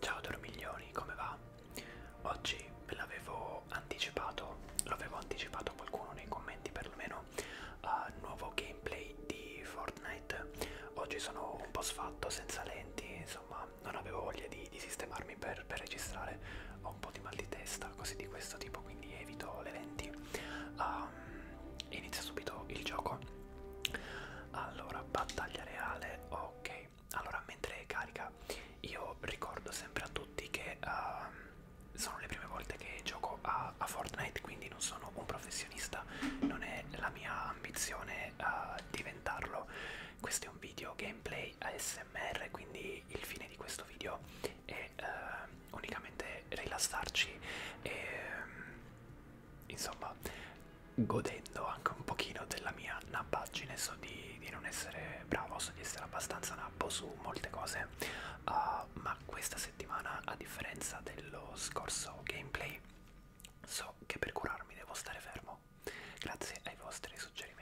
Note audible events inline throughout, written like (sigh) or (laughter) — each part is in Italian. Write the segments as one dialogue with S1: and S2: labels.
S1: Ciao Dormiglioni, come va? Oggi ve l'avevo anticipato, l'avevo anticipato a qualcuno nei commenti perlomeno, uh, nuovo gameplay di Fortnite. Oggi sono un po' sfatto, senza lenti, insomma non avevo voglia di, di sistemarmi per, per registrare, ho un po' di mal di testa, cose di questo tipo, quindi evito le lenti. Um, inizia subito il gioco. Allora, battaglia reale, ok. Allora, mentre carica, io ricordo sempre a tutti che uh, sono le prime volte che gioco a, a Fortnite, quindi non sono un professionista, non è la mia ambizione uh, diventarlo. Questo è un video gameplay ASMR, quindi il fine di questo video è uh, unicamente rilassarci e um, insomma godendo anche un pochino della mia nappaggine, so di, di non essere bravo, so di essere abbastanza nappo su molte cose, uh, ma questa settimana a differenza dello scorso gameplay so che per curarmi devo stare fermo, grazie ai vostri suggerimenti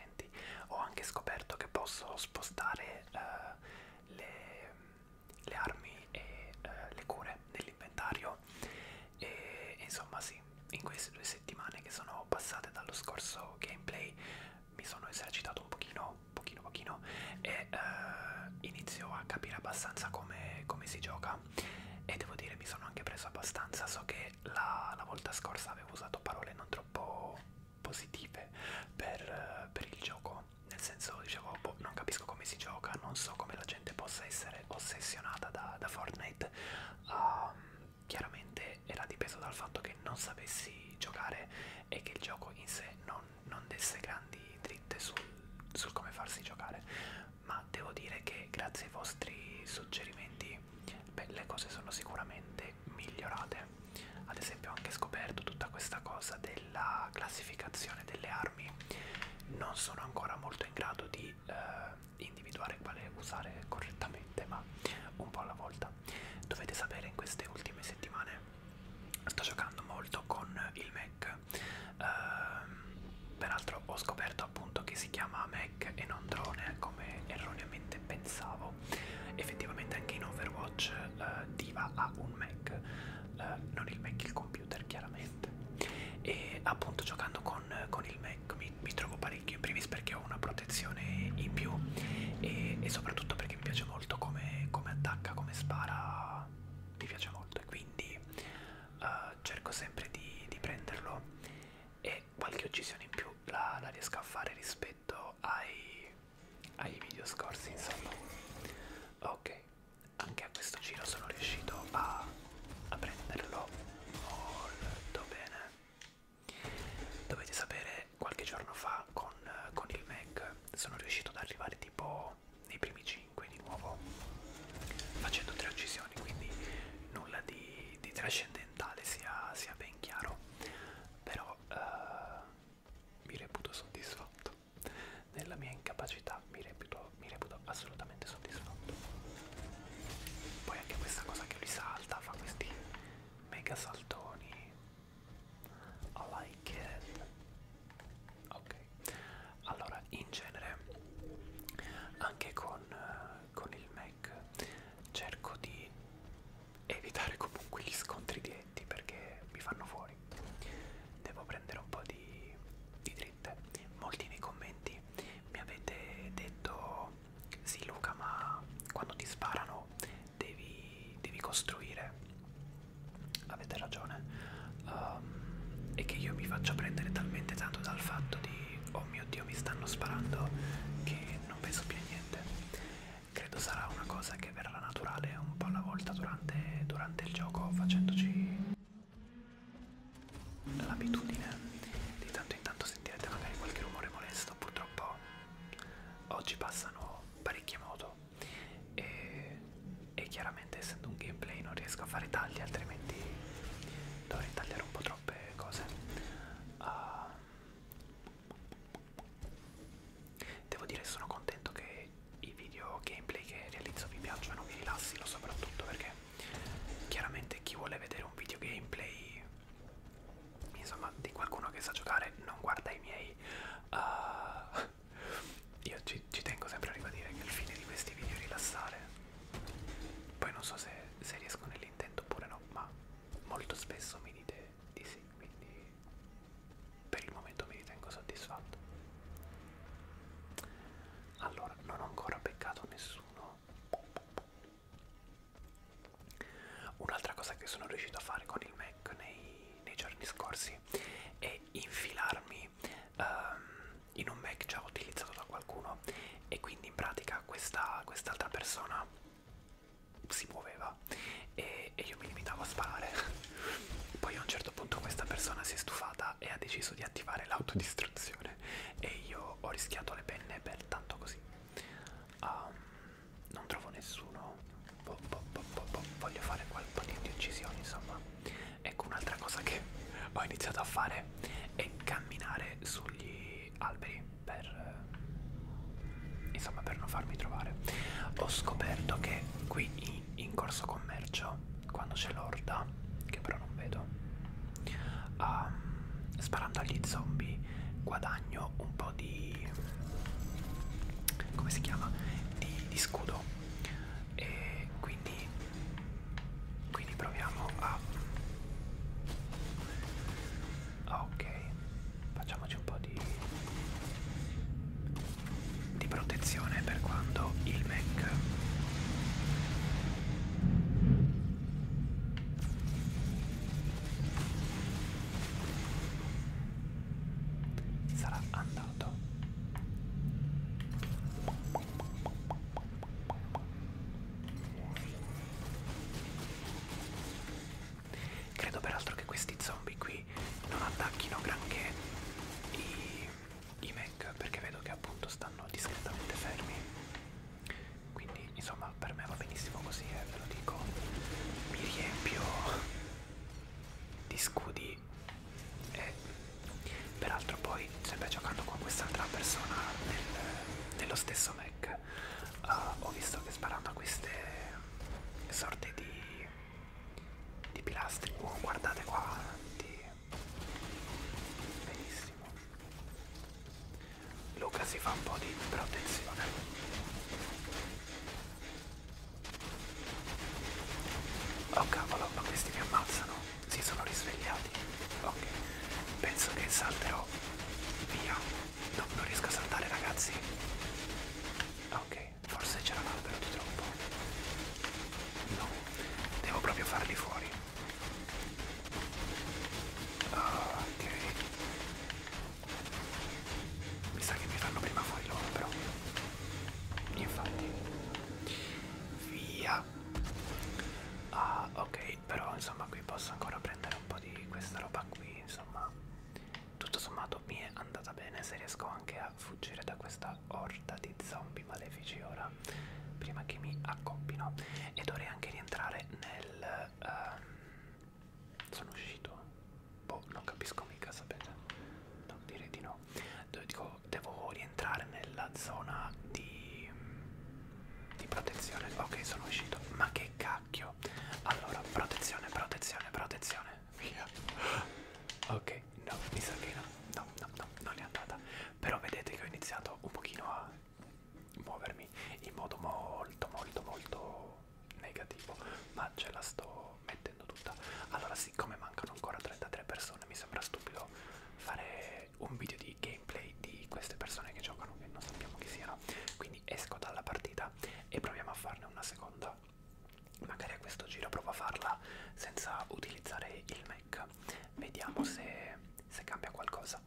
S1: ho anche scoperto che posso spostare uh, le, le armi e uh, le cure nell'inventario e insomma sì, in queste due settimane che sono passate dallo scorso gameplay mi sono esercitato un pochino, pochino, pochino e uh, inizio a capire abbastanza come, come si gioca e devo dire mi sono anche preso abbastanza, so che la, la volta scorsa avevo usato parole non troppo positive per, uh, per il gioco nel senso dicevo boh, non capisco come si gioca non so come la gente possa essere è ossessionata da, da Fortnite um, chiaramente era dipeso dal fatto che non sapessi giocare e che il gioco in sé non, non desse grandi dritte sul, sul come farsi giocare ma devo dire che grazie ai vostri suggerimenti beh, le cose sono sicuramente migliorate ad esempio ho anche scoperto tutta questa cosa del della classificazione delle armi non sono ancora molto in grado di eh, individuare quale usare correttamente, ma un po' alla volta. Dovete sapere in queste ultime settimane sto giocando molto con il Mac. Eh, peraltro ho scoperto appunto che si chiama Mac e non drone come erroneamente pensavo. Effettivamente anche in Overwatch eh, Diva ha un Mac, eh, non il Mac il computer computer chiaramente e appunto giocando con, con il Mac mi, mi trovo parecchio in primis perché ho una protezione in più e, e soprattutto perché mi piace molto come, come attacca, come spara mi piace molto e quindi uh, cerco sempre di, di prenderlo e qualche uccisione in più la, la riesco a fare rispetto ai, ai video scorsi insomma ok anche a questo giro sono riuscito a, a prenderlo molto bene dovete sapere qualche giorno fa con, con il Mac sono riuscito ad arrivare tipo nei primi 5 di nuovo facendo tre uccisioni quindi nulla di, di trascendentale sia, sia ben chiaro però eh, mi reputo soddisfatto nella mia incapacità mi reputo, mi reputo assolutamente soddisfatto. Poi anche questa cosa che lui salta, fa questi mega saltoni. I like it. Ok. Allora, in genere, anche con, eh, con il Mac, cerco di evitare comunque gli scontri diretti perché mi fanno fuori fuori devo prendere un po' di, di dritte molti nei commenti mi avete detto sì Luca ma quando ti sparano devi, devi costruire avete ragione um, e che io mi faccia prendere talmente tanto dal fatto di oh mio dio mi stanno sparando che non penso più a niente credo sarà una cosa che che verrà naturale un po' alla volta durante, durante il gioco facendoci l'abitudine di tanto in tanto sentirete magari qualche rumore molesto purtroppo oggi passano parecchie moto e, e chiaramente essendo un gameplay non riesco a fare tagli altrimenti dovrei tagliare un po' troppe cose uh, devo dire sono contento che se i video gameplay che realizzo vi piacciono vi rilassino soprattutto perché chiaramente chi vuole vedere un video gameplay insomma di qualcuno che sa giocare non guarda i miei uh, io ci, ci tengo sempre a ribadire che il fine di questi video è rilassare poi non so se, se riesco nell'intento oppure no ma molto spesso mi dite di sì quindi per il momento mi ritengo soddisfatto. Allora, non ho ancora beccato nessuno. Un'altra cosa che sono riuscito a fare con il Mac nei, nei giorni scorsi è infilarmi um, in un Mac già utilizzato da qualcuno e quindi in pratica questa quest'altra persona si muoveva sparava e, e io mi limitavo a sparare. (laughs) Poi a un certo punto questa persona si è stufata e ha deciso di attivare l'autodistruzione e io ho rischiato le penne per tanto così. Um, non trovo nessuno. Bo, bo, bo, bo, bo. Voglio fare qualche di uccisioni, insomma. Ecco un'altra cosa che (laughs) ho iniziato a fare è camminare sugli alberi per insomma per non farmi trovare. Ho scoperto che qui in corso commercio quando c'è l'orda che però non vedo um, sparando agli zombie guadagno un po' di come si chiama di, di scudo e quindi quindi proviamo a ok facciamoci un po' di, di protezione per quando il Mac sarà andato credo peraltro che questi zombie qui quindi non attacchino granché i, i mech perché vedo che appunto stanno discretamente fermi quindi insomma per me va benissimo così e eh, ve lo dico mi riempio di scudi e peraltro poi sempre giocando con quest'altra persona nel, nello stesso mech uh, ho visto che sparando a queste sorte di di pilastri oh, guardate quanti benissimo Luca si fa un po' di protezione oh cavolo ma questi mi ammazzano si sono risvegliati ok penso che salterò via no, non riesco a saltare ragazzi ok forse c'era un albero di troppo. No, devo proprio farli fuori. Oh, ok. Mi sa che mi fanno prima fuori loro però. Infatti. Via. Ah, ok, però insomma qui posso ancora prendere un po' di questa roba qui, insomma tutto sommato mi è andata bene se riesco anche a fuggire da questa orda di zombie malefici ora prima che mi accoppino e dovrei anche rientrare nel um, sono uscito boh non capisco mica sapete no, direi di no De dico devo rientrare nella zona di di protezione ok sono uscito ma che cacchio allora protezione protezione protezione via ok no mi sa che no no no, no non è andata però vedete che ho iniziato un pochino a muovermi in modo molto molto molto negativo ma ce la sto mettendo tutta allora siccome mancano ancora 33 persone mi sembra stupido fare un video di gameplay di queste persone che giocano che non sappiamo chi siano quindi esco dalla partita partita e proviamo a farne una seconda. Magari a questo giro provo a farla senza utilizzare il Mac. Vediamo se, se cambia qualcosa.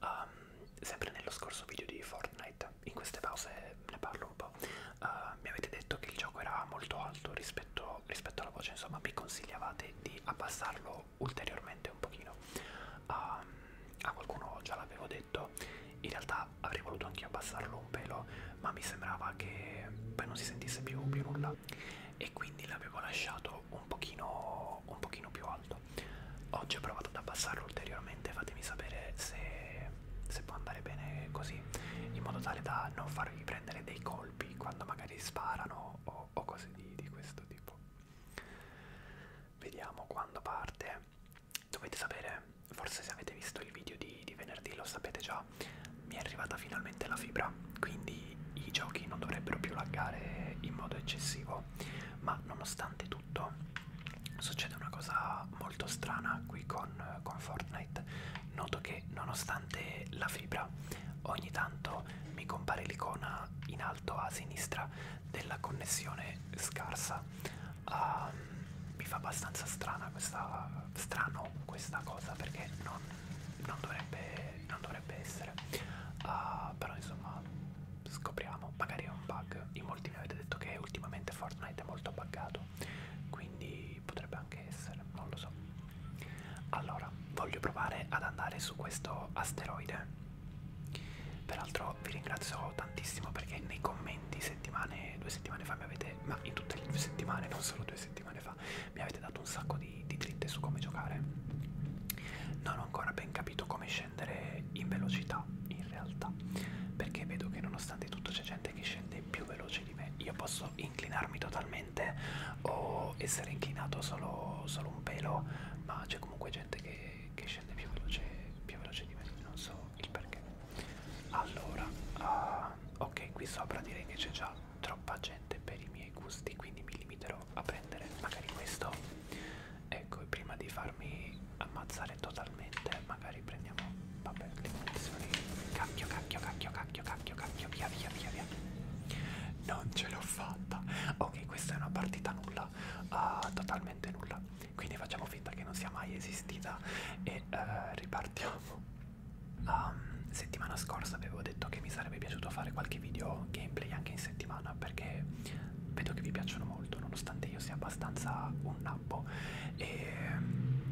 S1: Um, sempre nello scorso video di Fortnite, in queste pause ne parlo un po', uh, mi avete detto che il gioco era molto alto rispetto, rispetto alla voce, insomma mi consigliavate di abbassarlo ulteriormente un pochino. Um, a qualcuno già l'avevo detto, in realtà avrei voluto anche abbassarlo un pelo, ma mi sembrava che poi non si sentisse più, più nulla e quindi l'avevo lasciato un pochino, un pochino più alto. Oggi ho provato ad abbassarlo ulteriormente, fatemi sapere se, se può andare bene così, in modo tale da non farvi prendere dei colpi quando magari sparano o, o cose di, di questo tipo. Vediamo quando parte dovete sapere, forse se avete visto il video di, di venerdì lo sapete già, mi è arrivata finalmente la fibra, quindi i giochi non dovrebbero più laggare in modo eccessivo, ma nonostante tutto succede una cosa molto strana qui con, con Fortnite, noto che nonostante la fibra ogni tanto mi compare l'icona in alto a sinistra della connessione scarsa. Um, mi fa abbastanza strana questa, strano questa cosa perché non, non, dovrebbe, non dovrebbe essere. Uh, però insomma scopriamo, magari è un bug. In molti mi avete detto che ultimamente Fortnite è molto buggato, quindi potrebbe anche essere, non lo so. Allora, voglio provare ad andare su questo asteroide Peraltro vi ringrazio tantissimo perché nei commenti settimane, due settimane fa mi avete, ma in tutte le due settimane, non solo due settimane fa, mi avete dato un sacco di, di dritte su come giocare. Non ho ancora ben capito come scendere in velocità in realtà, perché vedo che nonostante tutto c'è gente che scende più veloce di me. Io posso inclinarmi totalmente o essere inclinato solo, solo un pelo, ma c'è comunque gente che, che, scende più veloce, più veloce di me, non so il perché. Allora, uh, ok, qui sopra direi che c'è già troppa gente per i miei gusti, quindi mi limiterò a prendere magari questo. Ecco, e prima di farmi ammazzare totalmente, magari prendiamo, vabbè, le munizioni. Cacchio, cacchio, cacchio, cacchio, cacchio, cacchio, via, via, via, via. Non ce l'ho fatta. Ok, questa è una partita nulla, uh, totalmente nulla quindi facciamo finta che non sia mai esistita e uh, ripartiamo. La um, ehm, settimana scorsa avevo detto che mi sarebbe piaciuto fare qualche video gameplay anche in settimana perché vedo che vi piacciono molto nonostante io sia abbastanza un nappo e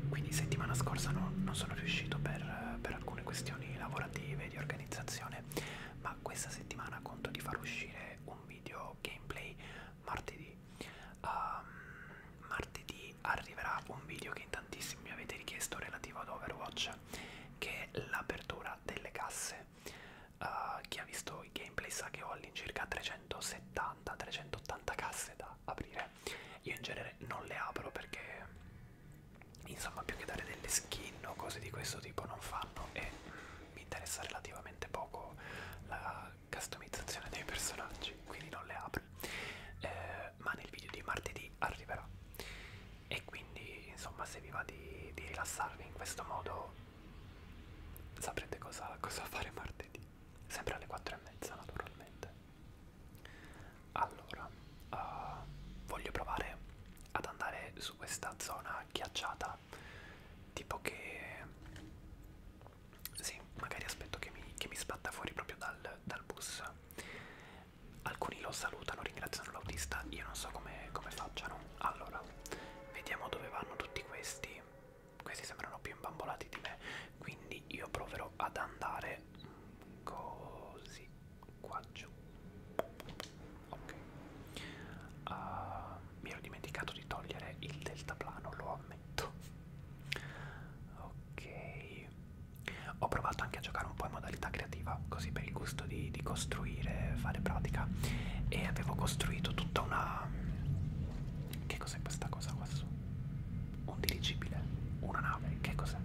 S1: quindi settimana scorsa no, non sono riuscito per, per alcune questioni lavorative, di organizzazione, ma questa settimana conto di far uscire un video gameplay martedì um, martedì arriverà un video che in tantissimi mi avete richiesto relativo ad Overwatch che è l'apertura delle casse uh, chi ha visto i gameplay sa che ho all'incirca 370-380 casse da aprire io in genere non le apro perché insomma più che dare delle skin o cose di questo tipo non fanno e mi interessa relativamente poco la customizzazione dei personaggi, quindi non le apro. Eh, ma nel video di martedì arriverà. E quindi, insomma, se vi va di, di rilassarvi in questo modo, saprete cosa, cosa fare martedì. Sempre alle 4 e mezza, naturalmente. Allora, uh, voglio provare ad andare su questa zona ghiacciata sa tipo che sì magari aspetto che mi, che mi sbatta fuori proprio dal, dal bus alcuni lo salutano ringraziano l'autista io non so come, come facciano allora vediamo dove vanno tutti questi questi sembrano più imbambolati di me quindi io proverò ad andare così qua giù ok uh, mi ero dimenticato di togliere il deltaplano lo ammetto ok ho provato anche a giocare un po' in modalità creativa così per il gusto di, di costruire fare pratica e avevo costruito tutta una che cos'è questa cosa qua su un dirigibile una nave che cos'è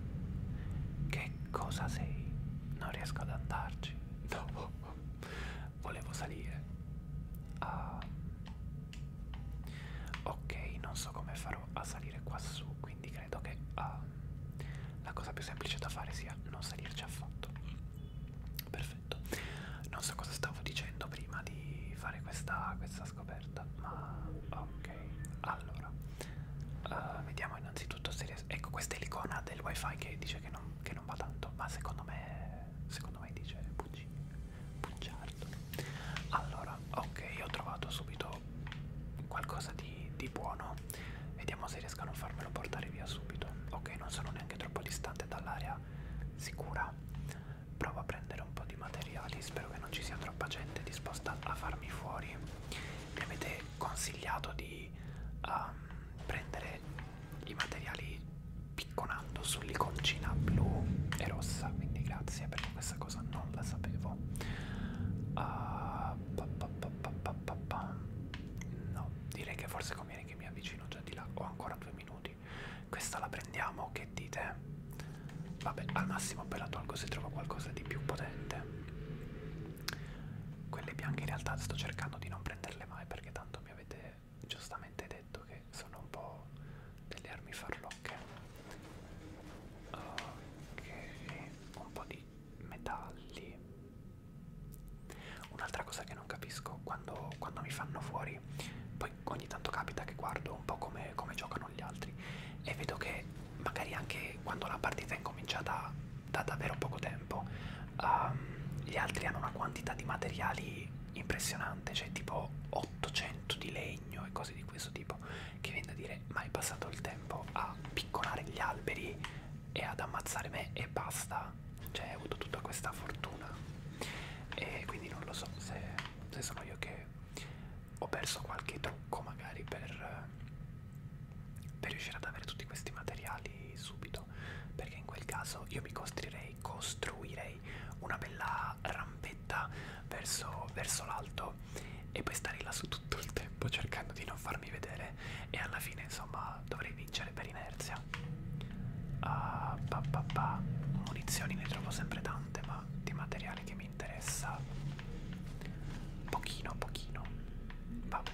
S1: che cosa sei non riesco ad andarci no volevo volevo salire ah. ok non so come farò a salire qua su quindi credo che ah, la cosa più semplice da fare sia non salirci affatto perfetto non so cosa stavo dicendo prima di fare questa, questa scoperta ma ok allora uh, vediamo innanzitutto se ecco questa è l'icona del wifi che dice che non, che non non va tanto, ma secondo me, secondo me dice bugi, bugiardo. Allora, ok, ho trovato subito qualcosa di, di buono. Vediamo se riesco a non farmelo portare via subito. Ok, non sono neanche troppo distante dall'area sicura. Provo a prendere un po' di materiali, spero che non ci sia troppa gente disposta a farmi fuori. Mi avete consigliato di di um, prendere i materiali picconando sull'iconcina blu e rossa quindi grazie perché questa cosa non la sapevo uh, pa, pa, pa, pa, pa, pa, pa. no direi che forse conviene che mi avvicino già di là ho ancora due minuti questa la prendiamo che dite vabbè al massimo poi la tolgo se trovo qualcosa di più potente quelle bianche in realtà sto cercando di non prenderle mai perché tanto mi avete giustamente detto che sono un po' delle armi farlocche. Ok, un po' di metalli. Un'altra cosa che non capisco quando, quando mi fanno fuori, poi ogni tanto capita che guardo un po' come, come giocano gli altri e vedo che magari anche quando la partita è incominciata da davvero poco tempo um, gli altri hanno una quantità di materiali impressionante, cioè tipo 800 di legno e cose di questo tipo, che viene da dire ma è passato il tempo a piccolare gli alberi e ad ammazzare me e basta, cioè ho avuto tutta questa fortuna e quindi non lo so se, se sono io che ho perso qualche trucco magari per per riuscire ad avere tutti questi materiali subito perché in quel caso io mi costruirei, costruirei una bella rampetta verso, verso l'alto e poi stare là su tutto il tempo cercando di non farmi vedere e alla fine insomma dovrei vincere per inerzia uh, pa, pa, pa. munizioni ne trovo sempre tante ma di materiale che mi interessa pochino pochino va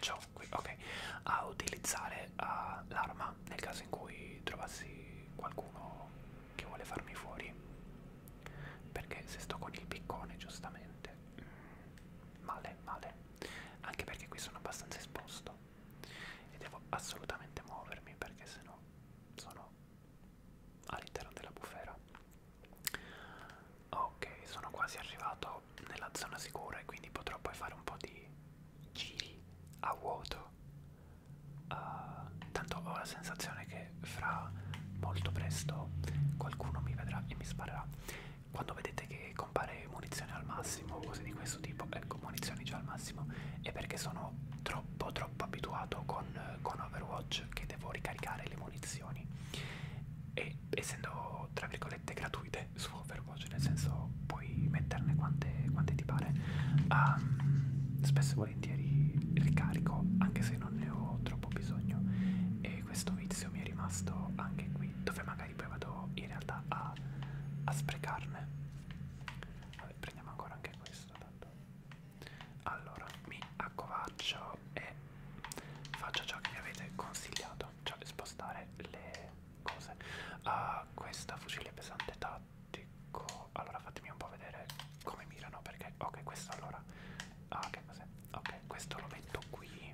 S1: ciò qui, ok, a utilizzare uh, l'arma nel caso in cui trovassi qualcuno che vuole farmi fuori. Perché se sto con il piccone, giustamente, mm, male, male. Anche perché qui sono abbastanza esposto e devo assolutamente muovermi perché sennò sono all'interno della bufera Ok, sono quasi arrivato nella zona sicura e quindi potrò poi fare un po' di giri a vuoto. Uh, tanto ho la sensazione che fra molto presto qualcuno mi vedrà e mi sparerà. Quando vedete che compare munizione al massimo o cose di questo tipo, ecco munizioni già al massimo, è perché sono troppo troppo abituato con, con Overwatch che devo ricaricare le munizioni e essendo tra virgolette gratuite su Overwatch, nel senso puoi metterne quante, quante ti pare, um, spesso e volentieri ricarico anche se non ne ho troppo bisogno e questo vizio mi è rimasto anche qui dove magari poi vado in realtà a, a sprecarne. Vabbè, prendiamo ancora anche questo tanto. Allora mi accovaccio e faccio ciò che mi avete consigliato sbagliato, cioè spostare le cose. Ah, questa fucile pesante tattico. Allora fatemi un po' vedere come mirano perché ok, questo allora Ah, che cos'è? Ok, questo lo metto qui.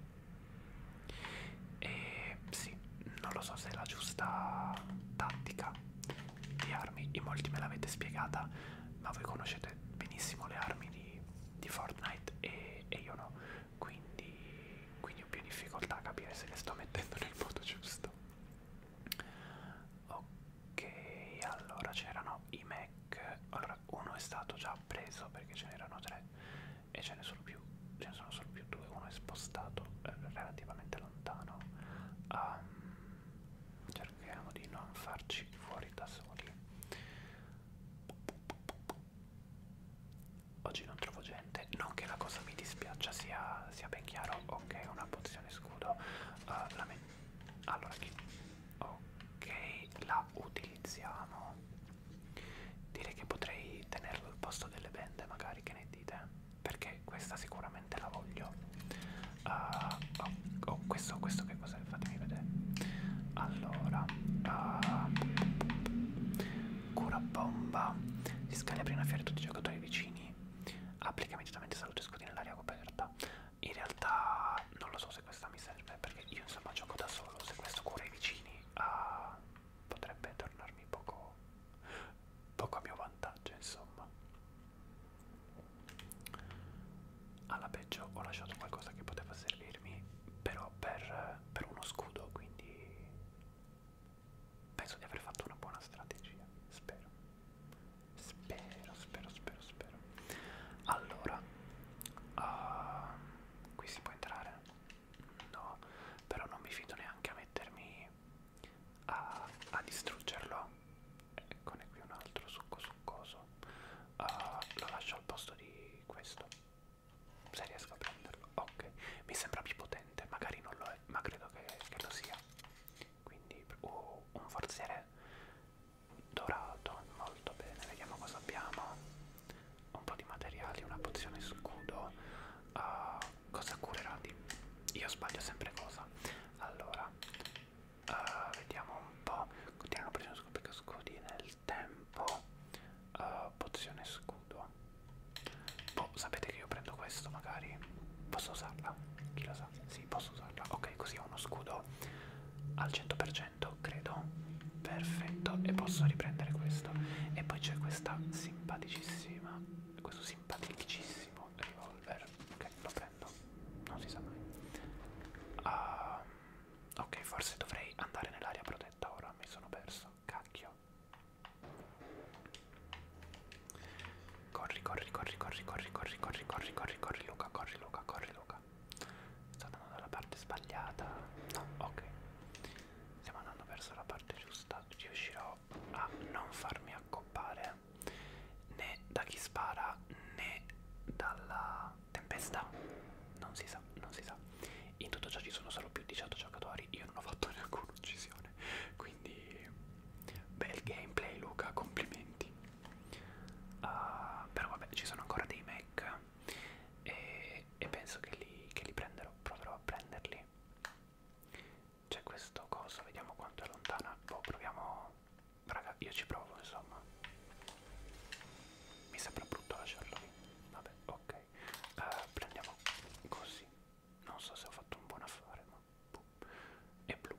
S1: E sì, non lo so se è la giusta tattica di armi. In molti me l'avete spiegata, ma voi conoscete benissimo le armi di, di Fortnite e e, e io no quindi, quindi ho più difficoltà a capire se le sto mettendo nel modo giusto ok allora c'erano i Mac allora uno è stato già preso perché ce n'erano tre e ce ne sono più ce ne sono solo più due uno è spostato eh, relativamente lontano um, cerchiamo di non farci fuori da soli Oggi non trovo gente, non che la cosa mi dispiaccia sia, sia ben chiaro, ok una pozione scudo, uh, la me allora chi? Ok, la utilizziamo. Direi che potrei tenerlo al posto delle bende magari, che ne dite? Perché questa sicuramente la voglio. Uh, oh, oh, questo, questo che cos'è? cos'è, fatemi vedere. Allora, uh, cura bomba, si scalibra in fiera tutti i giocatori vicini, applica immediatamente salute scuotina nell'area coperta. In realtà non lo so se questa mi serve, perché io insomma gioco da solo, se questo cura i vicini uh, potrebbe tornarmi poco, poco a mio vantaggio, insomma alla peggio ho lasciato qualcosa che poteva servirmi però per, per uno scudo quindi penso di aver fatto una buona strategia spero spero spero spero spero allora uh, qui si può entrare no però non mi fido neanche a mettermi a, a distruggerlo eccone eh, qui un altro succo succoso prezioso uh, eh, lo lascio al posto di questo se riesco a prenderlo ok mi sembra più potente magari non lo è ma credo che, che lo sia quindi uh, un forziere dorato molto bene vediamo cosa abbiamo un po' di materiali una pozione scudo uh, cosa curerà di io sbaglio sempre cosa allora uh, vediamo un po' continuano pressione scoperta scudi nel tempo uh, pozione scudo boh sapete che io prendo questo magari posso usarla chi lo sa sì posso usarla ok così ho uno scudo al 100% credo perfetto e posso riprendere questo e poi c'è questa simpaticissima questo simpaticissimo revolver ok lo prendo non si sa mai uh, Ok, forse dovrei andare nell'area protetta ora, mi sono perso, cacchio. Corri, corri, corri, corri, corri, corri, corri, corri, corri, corri, Luca, corri, Luca, corri, Luca. Sto andando dalla parte sbagliata. No, ok. Stiamo andando verso la parte giusta, riuscirò a non farmi accoppare né da chi spara né dalla tempesta non si sa non si sa in tutto ciò ci sono solo più 18 giocatori io non ho fatto (laughs) neanche uccisione quindi bel gameplay Luca complimenti uh, però vabbè ci sono ancora dei mech e, e penso che li, che li prenderò proverò a prenderli c'è questo coso vediamo quanto è lontana boh proviamo raga io ci provo insomma mi sembra brutto lasciarlo lì vabbè ok uh, prendiamo così non so se ho fatto un buon affare ma boh. è blu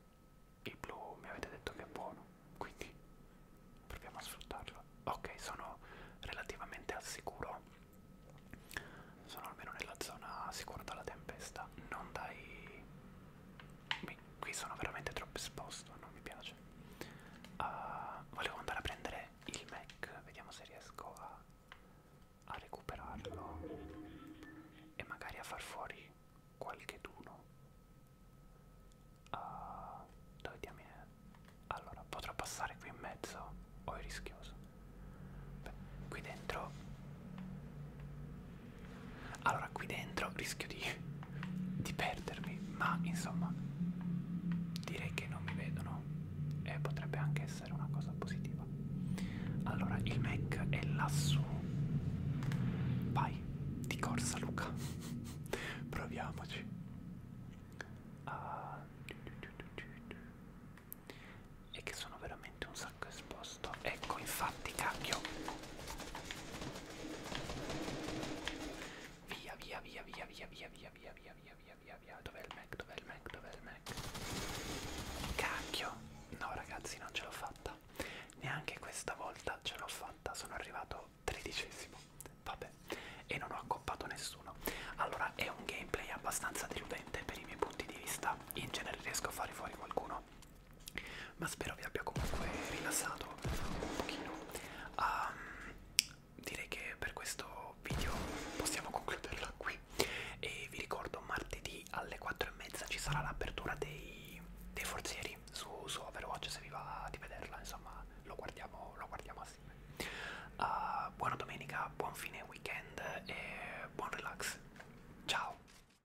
S1: il blu mi avete detto che è buono quindi proviamo a sfruttarlo ok sono relativamente al sicuro sono almeno nella zona sicura dalla tempesta non dai qui sono veramente troppo esposto, non mi piace. Uh, volevo andare a prendere il Mac, vediamo se riesco a, a recuperarlo e magari a far fuori qualche duno. Uh, eh, dove diamine eh. è? Allora, potrò passare qui in mezzo o è rischioso? Beh, qui dentro allora qui dentro rischio di, di perdermi, ma insomma direi che non mi vedono e potrebbe anche essere una cosa positiva. Allora il Mac è lassù. Vai, di corsa Luca. (laughs) Proviamoci. Uh, e che sono veramente un sacco sposto ecco infatti cacchio via via via via via via via via via via via via via dov'è il Mac dov'è il Mac dov'è il Mac cacchio no ragazzi non ce l'ho fatta neanche questa volta ce l'ho fatta sono arrivato tredicesimo vabbè e non ho accoppato nessuno allora è un gameplay abbastanza deludente per i miei punti di vista in genere riesco a fare fuori qualcuno ma spero vi abbia comunque rilassato un pochino um, direi che per questo video possiamo concluderla qui e vi ricordo martedì alle 4 e mezza ci sarà l'apertura dei, dei forzieri su, su Overwatch se vi va di vederla insomma lo guardiamo, lo guardiamo assieme uh, buona domenica buon fine weekend e buon relax ciao